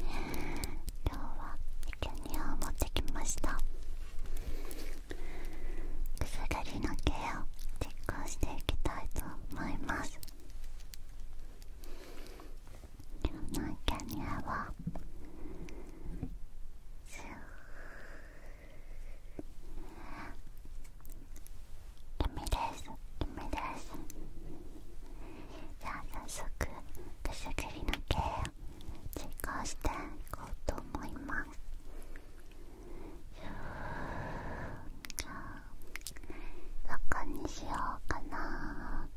今日はペキュニアを持ってきましたくすぐりの毛を実行していきたいと思います今日のキャニアはスー君です君ですじゃあ早速手作りの毛を実行していこうと思いますどこにしようかな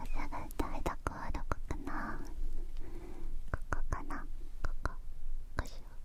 朝が歌いどこはどこかなここかなここここ…しよう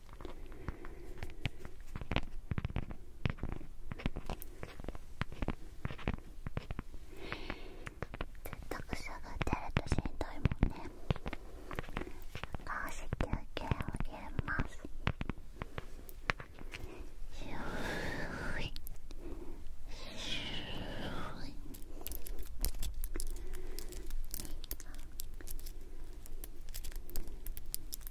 とくすが出るとしんどいもんね少し休憩を入れますシューイシューイ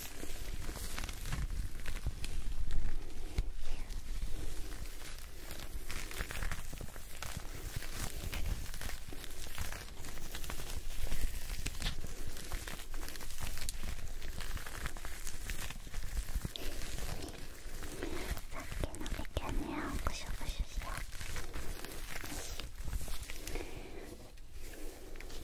きのねをクシュクシュした。よし。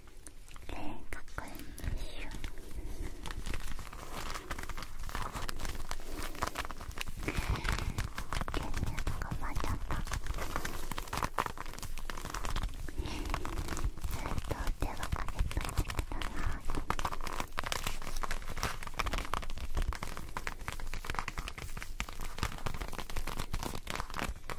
で確認しよう電力がまだかずっと手はかけといてくださいはい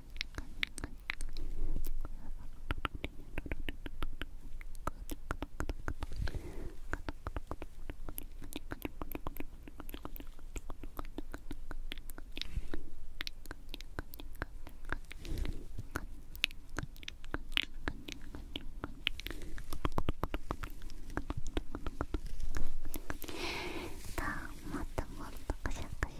もっともっとくしゃくし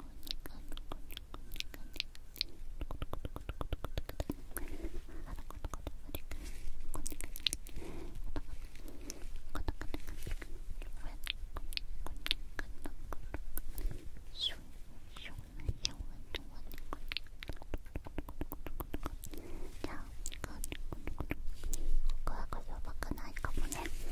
ここはこそばかないかもね。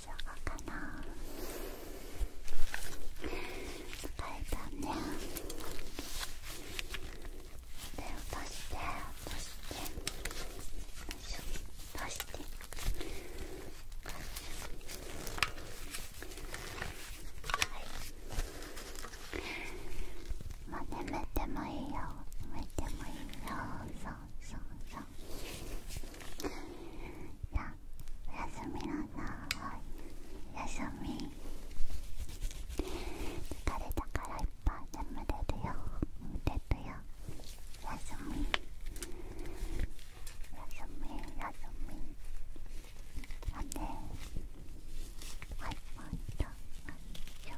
かな疲れたねで落として落として落としてはいまあ眠ってもいいよむいてもいいよそうそうそういやおやすみなさいおやすみ疲れたからいっぱい眠れるよ見ててよおやすみおやすみおやすみあて。はいもっと。度もう一